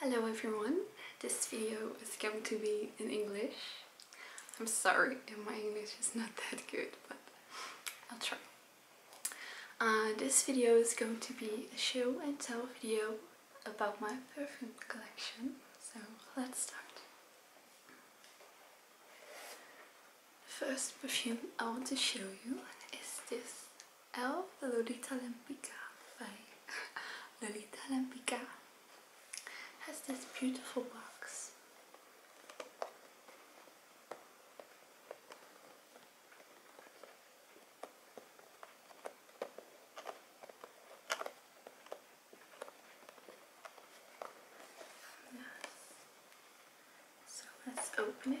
Hello everyone, this video is going to be in English. I'm sorry if my English is not that good, but I'll try. Uh, this video is going to be a show and tell video about my perfume collection, so let's start. First perfume I want to show you is this L oh, Lolita Lampica by Lolita Lampica has this beautiful box. So let's open it.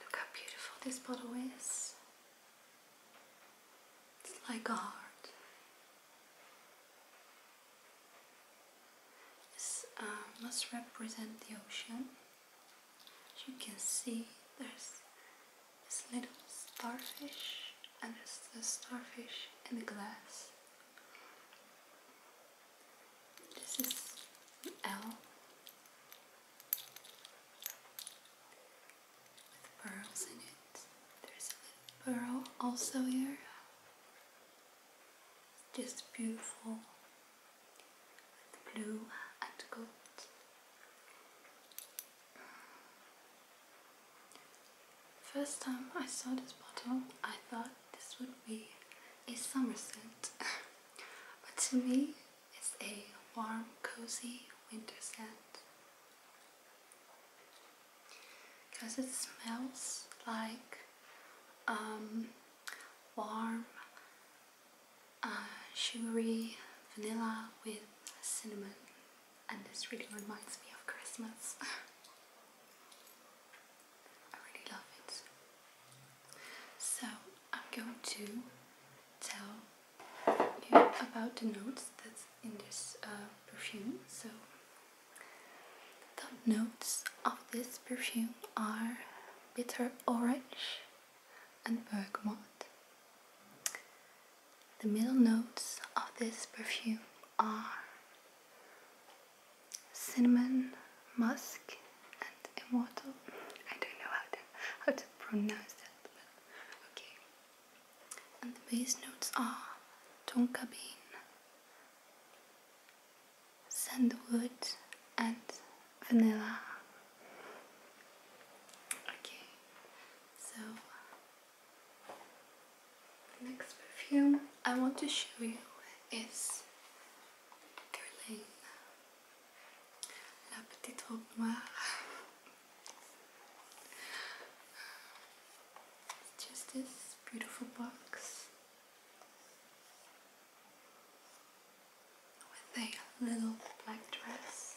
Look how beautiful this bottle is. It's like a heart. This uh, must represent the ocean. As you can see, there's this little starfish, and there's the starfish in the glass. This is an L with pearls in it. There's a little pearl also here. Just beautiful with blue and gold. First time I saw this bottle, I thought this would be a summer scent, but to me it's a warm, cozy winter scent because it smells like um, warm, uh, sugary vanilla with cinnamon, and this really reminds me of Christmas. I really love it. So I'm going to tell you about the notes that's in this uh, perfume. So the notes of this perfume are bitter orange and bergamot. The middle notes of this perfume are cinnamon, musk and and immortal. I don't know how to how to pronounce that, but okay. And the base notes are tonka bean, sandalwood, and vanilla. Okay, so next perfume I want to show you is Guerlain la petite robe noire. It's just this beautiful box with a little black dress.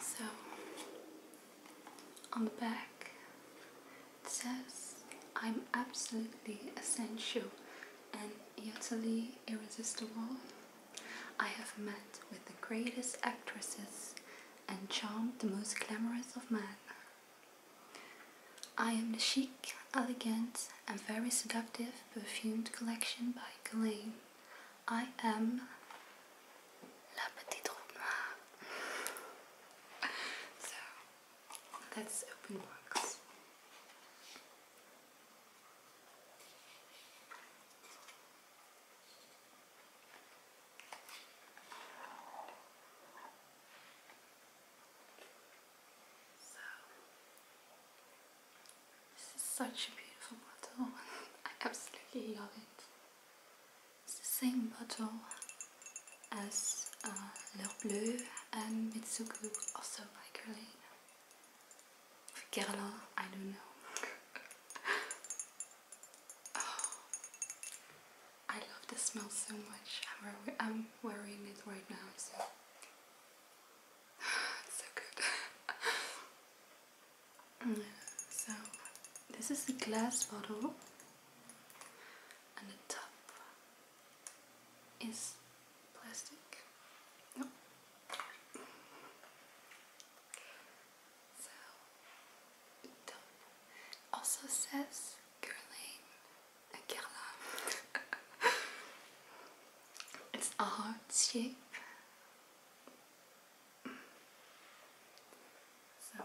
So, on the back, it says, I'm absolutely essential and utterly irresistible. I have met with the greatest actresses and charmed the most glamorous of men. I am the chic, elegant, and very seductive perfumed collection by Galen. I am La Petite Robe so, let's open box. So, this is such a beautiful bottle. I absolutely love it. It's the same bottle as uh, bleu and Mitsuko, also by Guerlain. Guerlain, I don't know. Oh, I love the smell so much. I'm, wearing it right now, so good. so this is a glass bottle and the top is plastic. also says Girlane and Carla. It's a heart shape. So.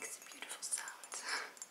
Makes a beautiful sound.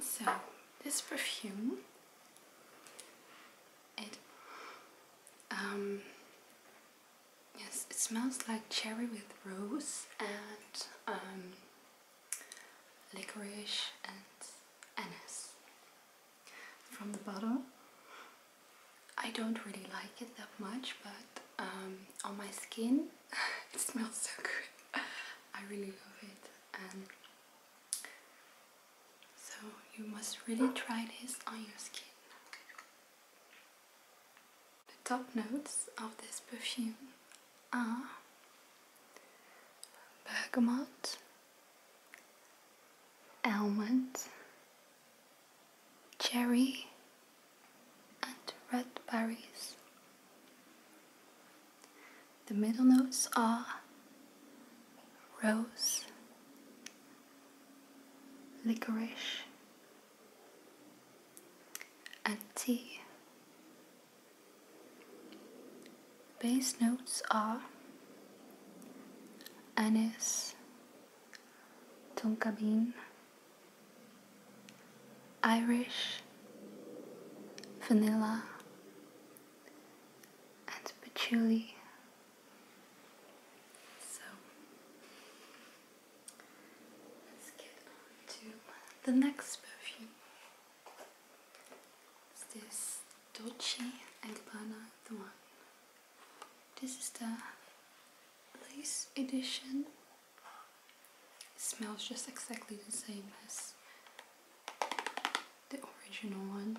So this perfume, it um, yes, it smells like cherry with rose and um, licorice and anise. From the bottle, I don't really like it that much, but um, on my skin. it smells so good. I really love it. And so you must really try this on your skin. The top notes of this perfume are bergamot, almond, cherry and red berries. The middle notes are rose, licorice, and tea. The bass notes are anise, tonka bean. Irish, vanilla, and patchouli. So let's get on to the next perfume. It's this Dolce and Gabbana the one. This is the this edition smells just exactly the same as the original one.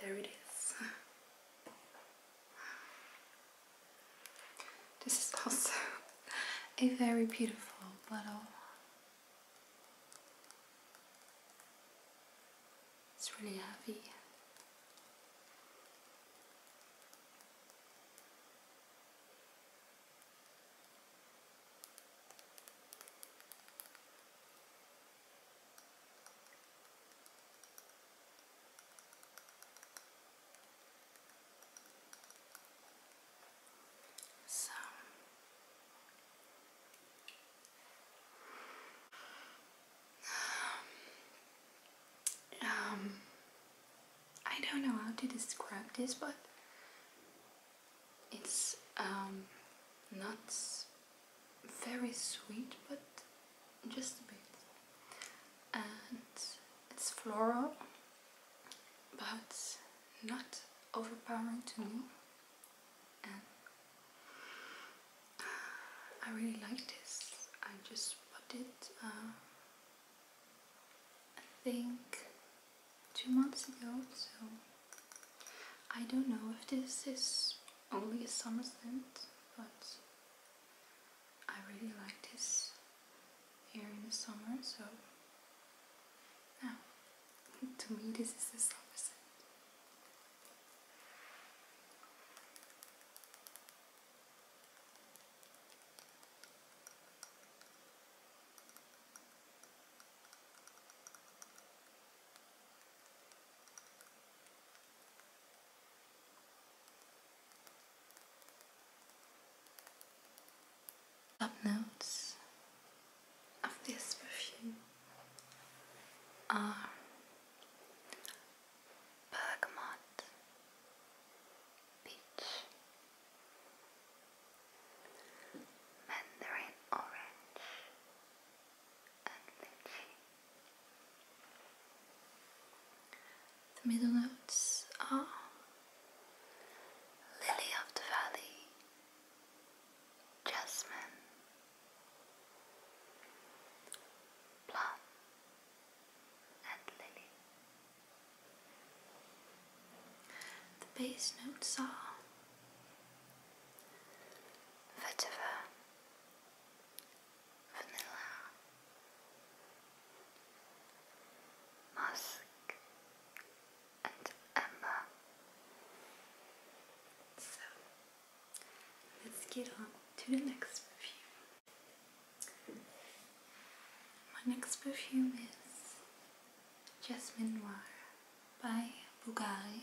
There it is. This is also a very beautiful bottle. It's really heavy. So um, um, I don't know how to describe this, but it's um, not very sweet, but just a bit. And it's floral, but not overpowering to me. I really like this. I just bought it. Uh, I think two months ago, so I don't know if this is only a summer scent, but I really like this here in the summer, so now to me this is a summer scent. Top notes of this perfume are bergamot, peach, mandarin orange, and lychee. The middle notes are lily of the valley, jasmine, plum, and lily. The base notes are vetiver, vanilla, musk, and amber. So let's get on to the next perfume. My next perfume is Jasmine Noir by Bulgari.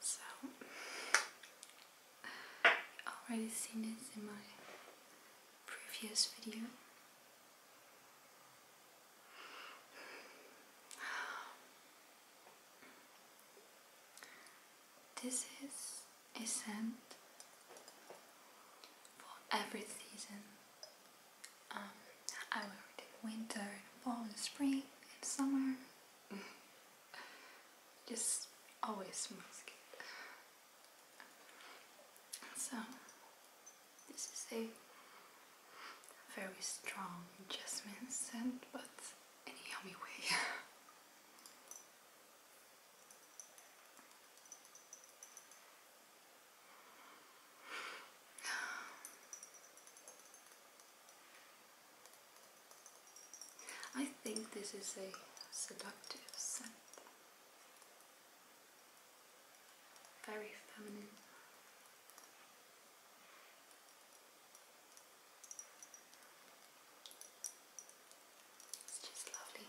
So, already seen it in my previous video. This is a scent for every season um, I wear winter, in fall, and spring, and summer. Just always mask it. So, this is a very strong jasmine scent, but in a yummy way. I think this is a seductive scent. Very feminine. It's just lovely.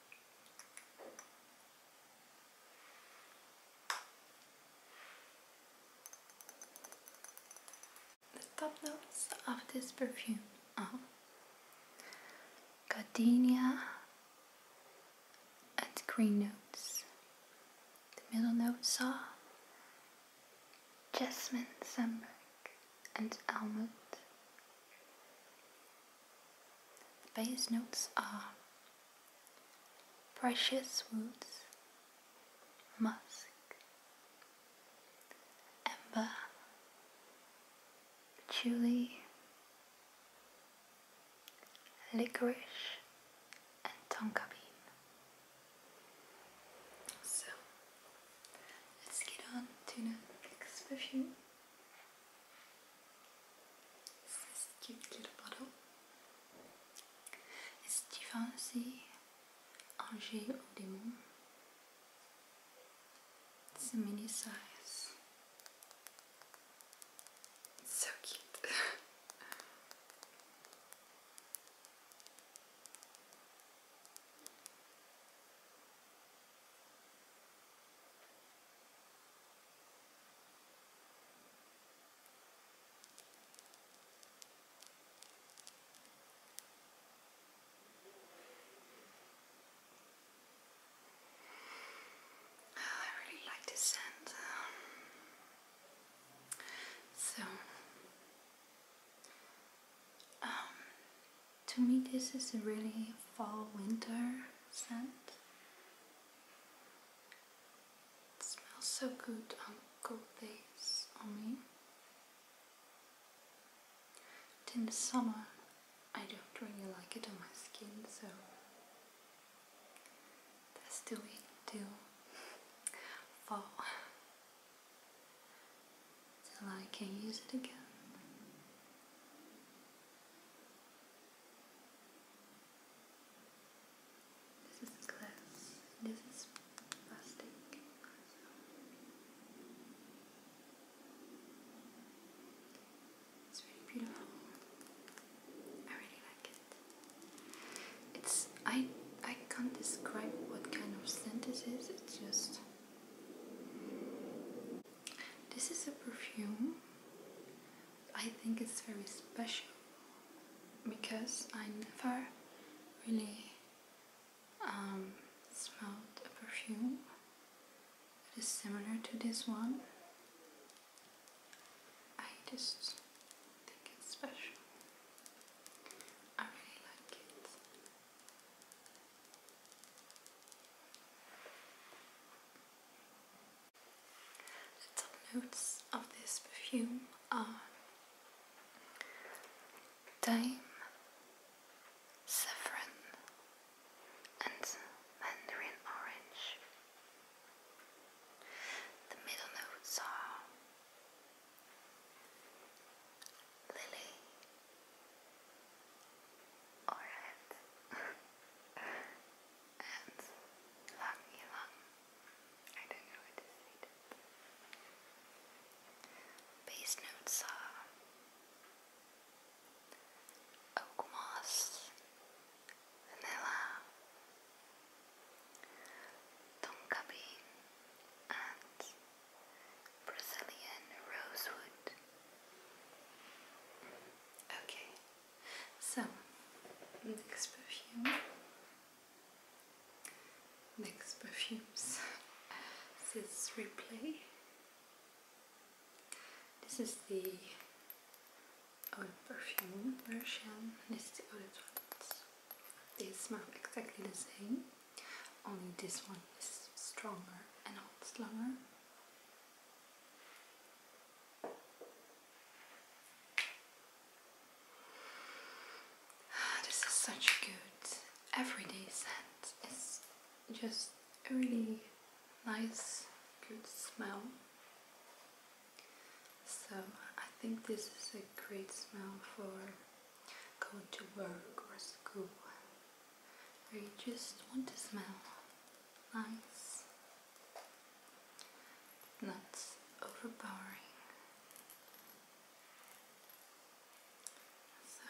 The top notes of this perfume are gardenia and green notes. The middle notes are jasmine, samberg, and almond. The base notes are precious woods, musk, amber, patchouli, licorice, and tonka bean. So let's get on to the next version. This cute little bottle is Givenchy Angers au Démon. It's a mini size. so cute. Oh, I really like this scent. Um, so, um, to me this is a really fall winter scent. It smells so good on cold days on me. But in the summer I don't really like it on my skin so that's the way to fall till I can use it again. This is glass, this is plastic. It's really beautiful. I really like it. It's I I can't describe what kind of scent it is. It's just this is a perfume. I think it's very special because I never really um, smelled a perfume that is similar to this one. I just think it's special. I really like it. The top notes of this perfume are thyme, saffron, and mandarin orange. The middle notes are lily, Alright. and lang ilang. I don't know how to say that. notes are oak moss, vanilla, tonka bean, and Brazilian rosewood. Okay, so next perfume. Next perfumes. this is replay. This is the old perfume version. This is the old ones. They smell exactly the same. Only this one is stronger and holds longer. This is such a good everyday scent. It's just a really nice, good smell. So I think this is a great smell for going to work or school or you just want to smell nice, not overpowering. So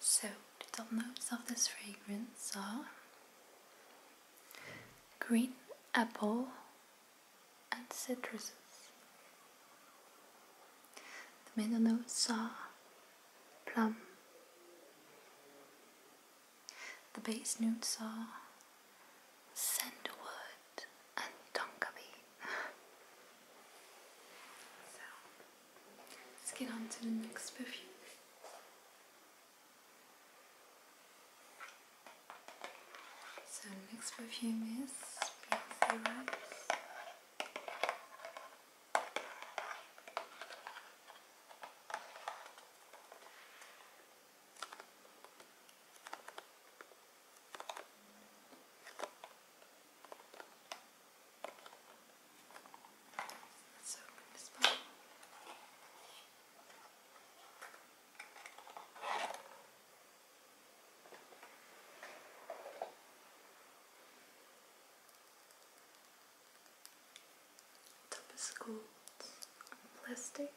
So, the top notes of this fragrance are green apple and citruses. The middle notes are plum, the base notes are Sandalwood and Tonkabean. so, let's get on to the next perfume. So, next perfume is Beyonce Rose. Let's open this bottle. Top is plastic.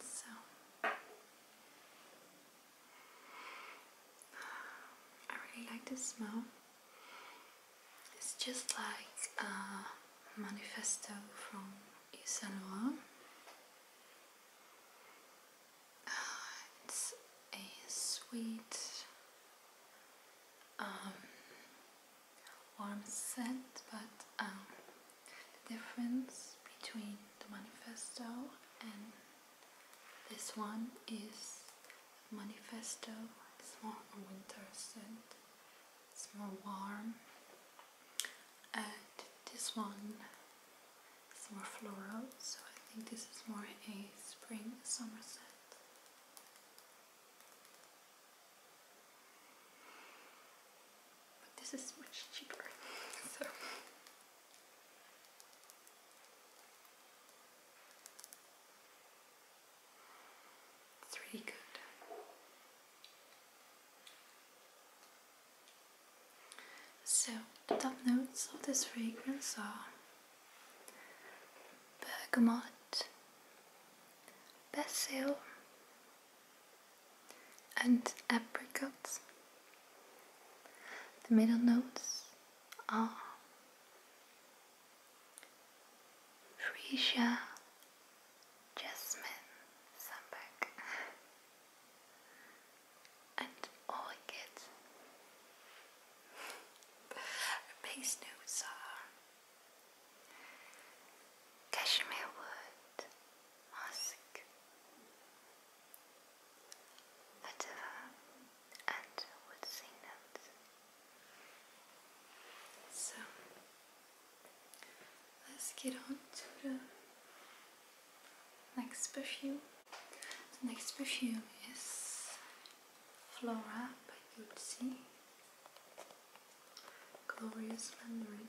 So I really like this smell. It's just like a manifesto from Yves Saint Laurent. It's a sweet, um, warm scent, but um, the difference between the manifesto and this one is manifesto. It's more winter set. It's more warm. And this one is more floral, so I think this is more a spring summer set. But this is much cheaper. so it's good. So, the top notes of this fragrance are bergamot, basil, and apricot. The middle notes are Frisia Jasmine Sampak and Orchid. base notes are Cashmere Wood, Musk, Vetiver, and would sing notes. So let's get on to the next perfume. The next perfume is Flora by Gucci Glorious Mandarin.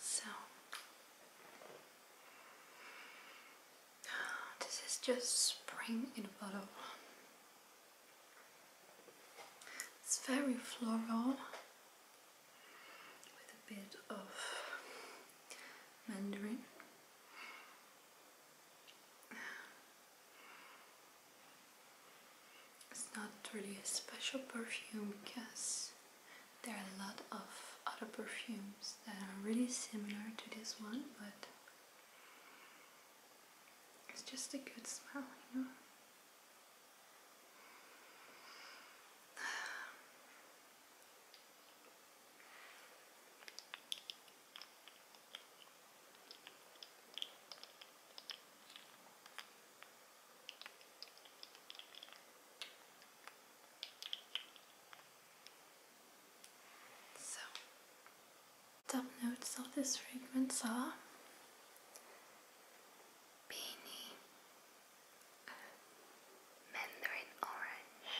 So, this is just spring in a bottle. It's very floral with a bit of mandarin. It's not really a special perfume because there are a lot of other perfumes that are really similar to this one, but it's just a good smell, you know. So, top notes of this fragrance are peony, Mandarin orange.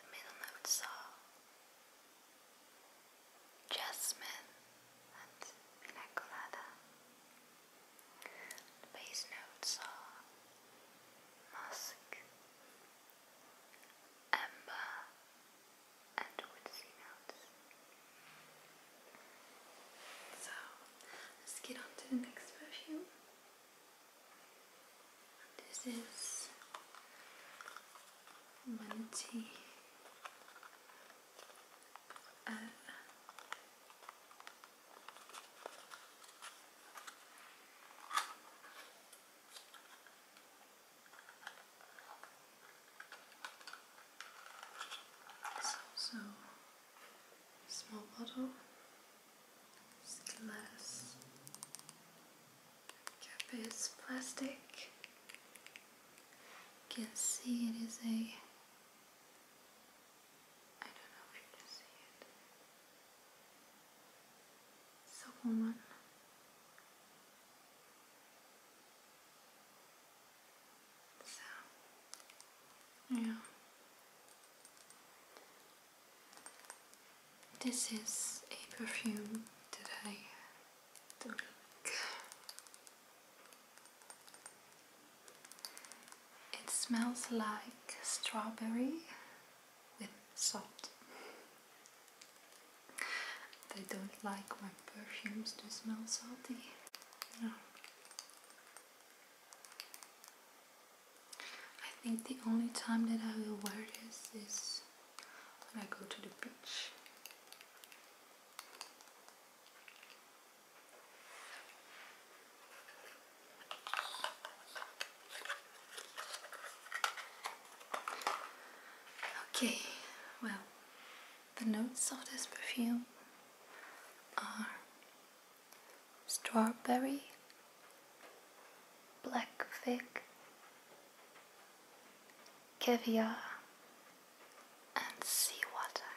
The middle notes are jasmine and pina The bass notes are musk, amber, so let's get on to the next perfume. This is Minty so, small bottle, it's glass, cap is plastic. You can see it is a I don't know if you can see it. It's a woman. So, yeah. This is a perfume that I don't like. It smells like strawberry with salt. They don't like my perfumes to smell salty. No. I think the only time that I will wear this is when I go to the beach. Okay, well, the notes of this perfume are strawberry, black fig, caviar, and seawater.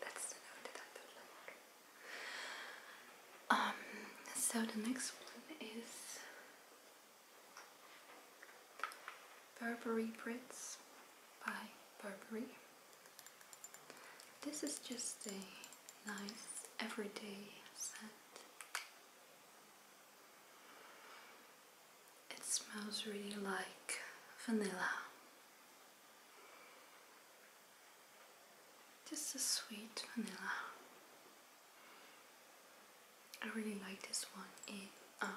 That's the note that I don't like. Um, so the next one is Burberry Brits by Burberry. This is just a nice everyday scent. It smells really like vanilla. Just a sweet vanilla. I really like this one in um,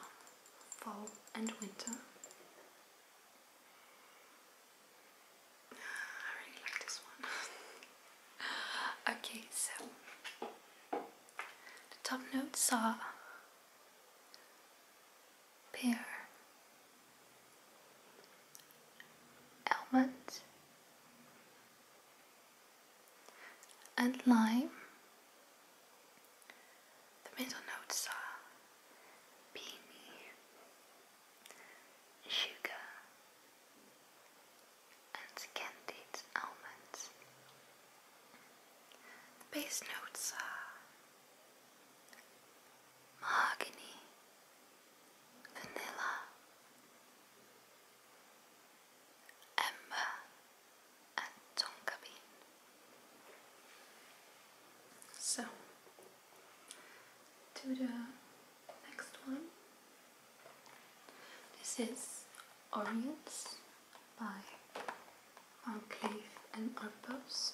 fall and winter. I really like this one. okay, so the top notes are pear, almond, and lime. The middle notes are beanie, sugar, and candied almonds. The base notes are mahogany, vanilla, Emma and Tonka Bean. So, to the next one. This is *Oriens* by Van and Arpels.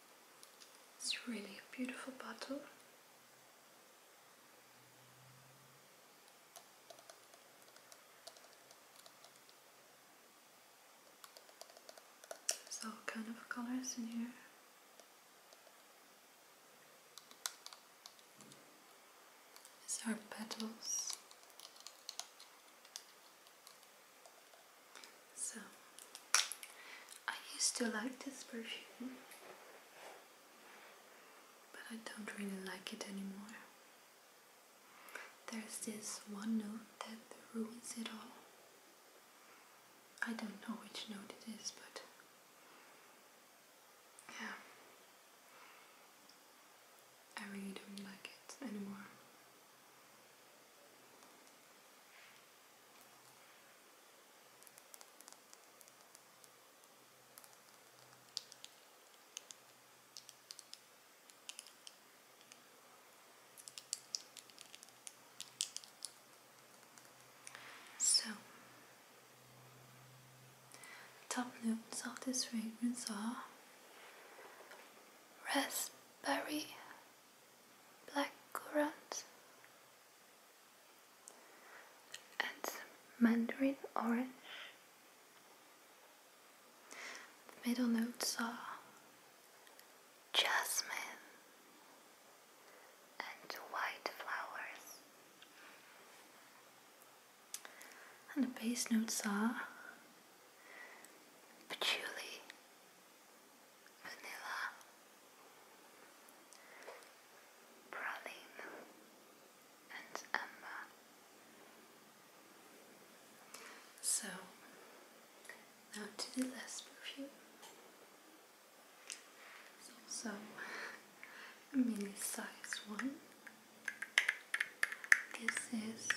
It's really a beautiful bottle. There's all kind of colors in here. These are petals. So, I used to like this perfume, but I don't really like it anymore. There's this one note that ruins it all. I don't know which note it is, but yeah, I really don't like it anymore. So, top notes of this fragrance are raspberry black currant and mandarin orange. The middle notes are jasmine and white flowers. And the base notes are patchouli vanilla, praline, and amber. So now to the last perfume. It's also a mini size one. This is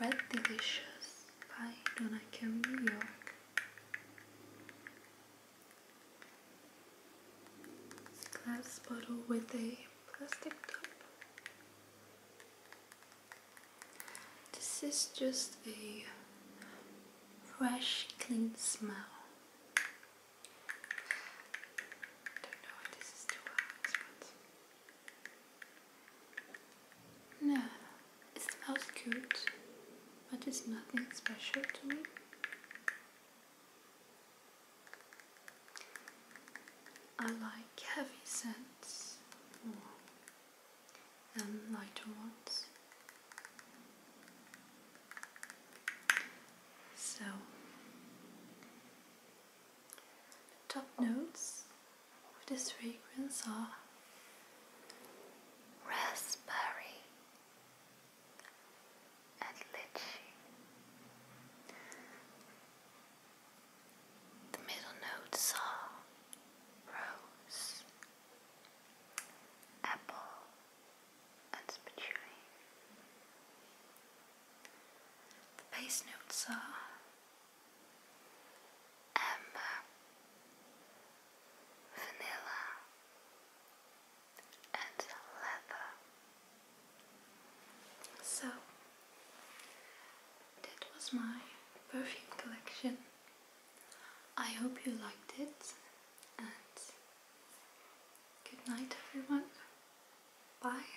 Red Delicious why don't I carry glass bottle with a plastic top. This is just a fresh, clean smell. I don't know if this is too hot, but no, it smells good, but it's nothing special to me. I like heavy scents more than lighter ones. So, top notes of this fragrance are raspberry and lychee. The middle notes are rose, apple, and patchouli. The base notes are amber, vanilla, and leather. So, that was my perfume collection. I hope you liked it, and good night, everyone. Bye.